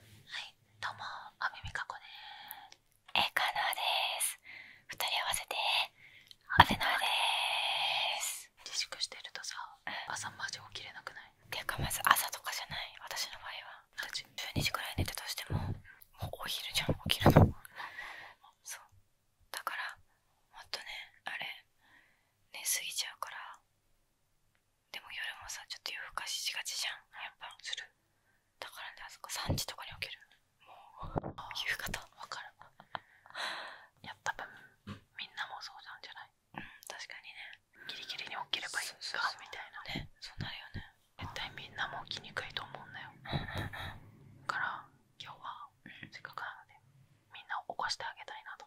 はい、どうも、あみみかこでーす。えかなーです。二人合わせて、あべなーでーす。自粛してるとさ、朝マジ起きれなくないていうか、まず朝とかじゃない、私の場合は。12時くらい寝たとしても、もうお昼じゃん、起きるの。そう。だから、もっとね、あれ、寝すぎちゃうから、でも夜もさちょっと夜更かししがちじゃんやっぱするだからねあそこ3時とかに起きるもう夕方わかるい や多分みんなもそうなんじゃない確かにねギリギリに起きればいいかみたいなねそうなるよね絶対みんなも起きにくいと思うんだよから今日はせっかくなのでみんなを起こしてあげたいなと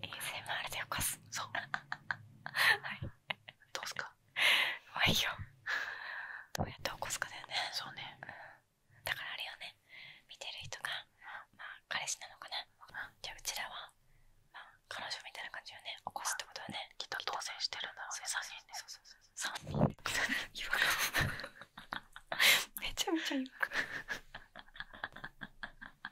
ASMR で起こすそう はいどうすかまあいいよどうやって起こすかだよねそうね、うん、だからあれよね見てる人がまあ彼氏なのかな、うん、じゃあうちらはまあ彼女みたいな感じよね起こすってことはねきっと当選してるんだろうね3人ねそうそうそう3人で違和感めちゃめちゃ違和感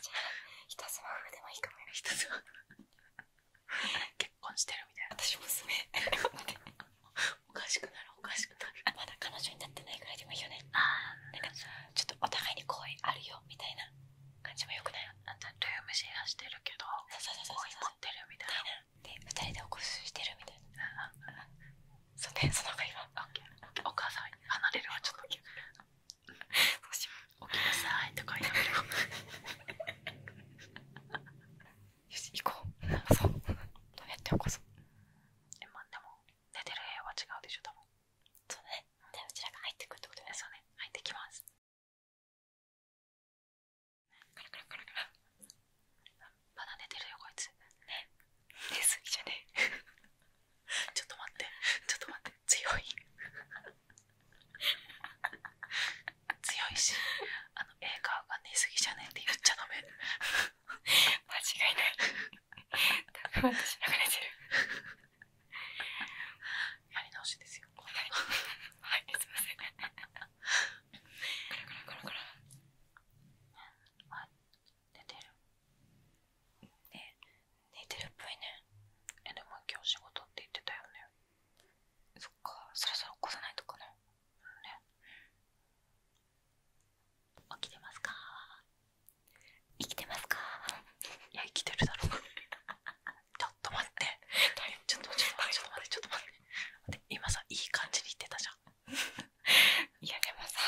じゃあ一つま風でもいいかもよ一つま結婚してるみたいな私娘おかしくなるおかしくなるまだ彼女になってないぐらいでもいいよねああかちょっとお互いに恋あるよみたいな感じもよくないあんたルームシェアしてるけど恋持ってるみたいなで2人でおこししてるみたいなそんでその方がいいわお母さん離れるわちょっと しよ起きなさいとか言いながらよし行こうそうどうやって起こそうえまあでも寝てる部屋は違うでしょ多分そうだねうちらが入ってくるってことねそうね入ってきますカラカラカラまだ寝てるよこいつね寝す ぎじゃねちょっと待ってちょっと待って強い強いしあの映画が寝すぎじゃねえって言っちゃダメ間違いない私流れてるやり直しですよはに。はいすいませんコロコロコロコロ出てる寝てるっぽいねえでも今日仕事って言ってたよねそっかそろそろ起こさないとかね起きてますか生きてますかいや生きてるだろ ちょっと待ってちょっと待ってちょっと待って今さいい感じに言ってたじゃん いやでもさ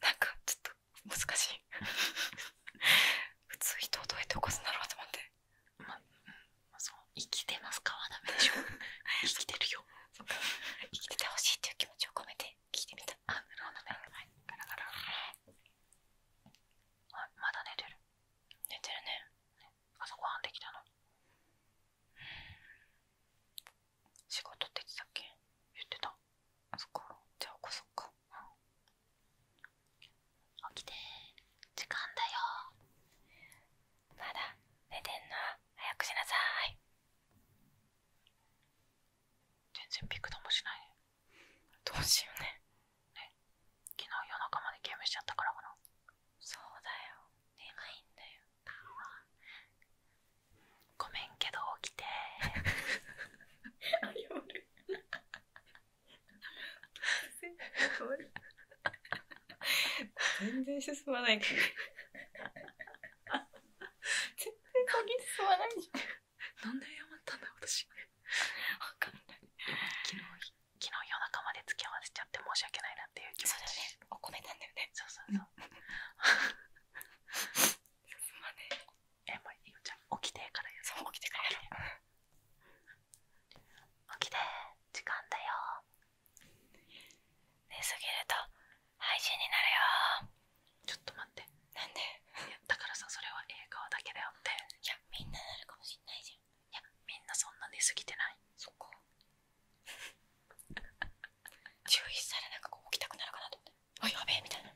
なんかちょっと難しい 普通人をどうやって起こすんだろうってま、ま、そう生きてますかわダめでしょ 生きてるよ生きててほしいっていう気持ちを込めて聞いてみたあなまだ寝てる寝てるね朝ごはんできたの仕事って言ってたっけ言ってたあそっかじゃあ起こそっか起きて時間だよまだ寝てんの早くしなさい全然ピクともしないどうしようね昨日夜中までゲームしちゃったからかなそうだよ寝ないんだよごめんけど起きてーる全然進まない全然 鍵進まないじゃんなんで謝ったんだ私わかんない昨日昨日夜中まで付き合わせちゃって申し訳ないなっていう気持ちそうだねお米なんだよねそうそうそう 進まねえもういいよじゃん、起きてからやそう起きてからや 起きて時間だよ寝すぎると配信になるよちょっと待ってなんで だからさそれは映画だけだよっていやみんななるかもしんないじゃんいやみんなそんな寝すぎてないそこ 注意されなんかこう起きたくなるかなと思って「あやべえ」みたいな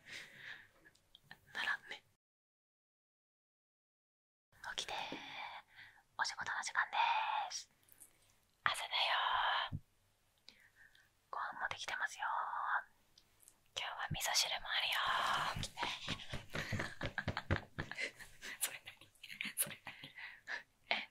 ならね起きてーお仕事の時間でーす朝だよーご飯もできてますよー今日は味噌汁もあるよー それ何それ何え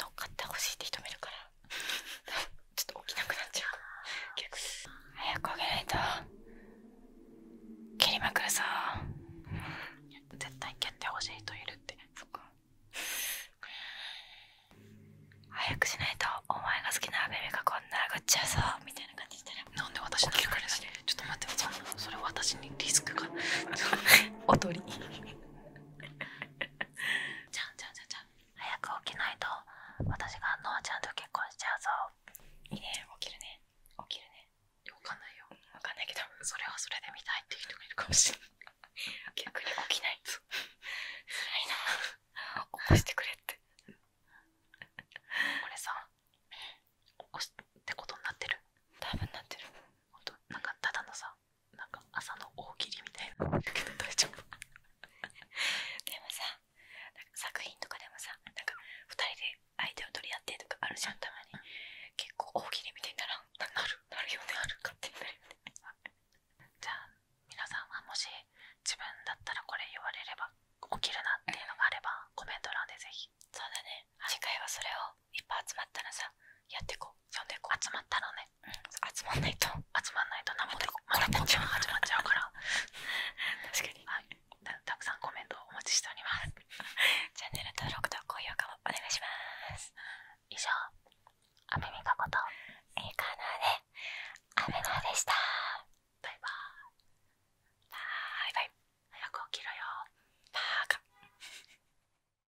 乗っかってほしいって人もいるから ちょっと起きなくなっちゃう逆に早く起きないと蹴りまくるぞ絶対蹴ってほしい人いるってそっか早くしないとお前が好きなベビーがこんな殴っちゃうぞみたいな感じしたらなんで私の蹴るしちょっと待ってそそれ私にリスクがおとりじゃんじゃんじゃんじゃん早く起きないと私がノアちゃんと結婚しちゃうぞいいね起きるね起きるねわかんないよわかないけどそれはそれで見たいっていう人がいるかもしれない逆に起きないと辛いな起こしてくれってこれさ起こすってことになってる多分なってるほんとなんかただのさなんか朝の大喜利みたいな大丈夫でもさなんか作品とかでもさなんか2人で相手を取り合ってとかあるじゃんたまに、結構大喜利みたいにならんなるなるよねあるかって。なるよねじゃあ皆さんはもし自分だったらこれ言われれば起きるなっていうのがあればコメント欄でぜひそうだね次回はそれをいっぱい集まったらさやってこう読んで集まったのね、集まんないと集まんないと何もでこ たくさんコメントをお待ちしておりますチャンネル登録と高評価もお願いします以上アメミこといいなでアメでしたバイバイ早く起きろよバーカ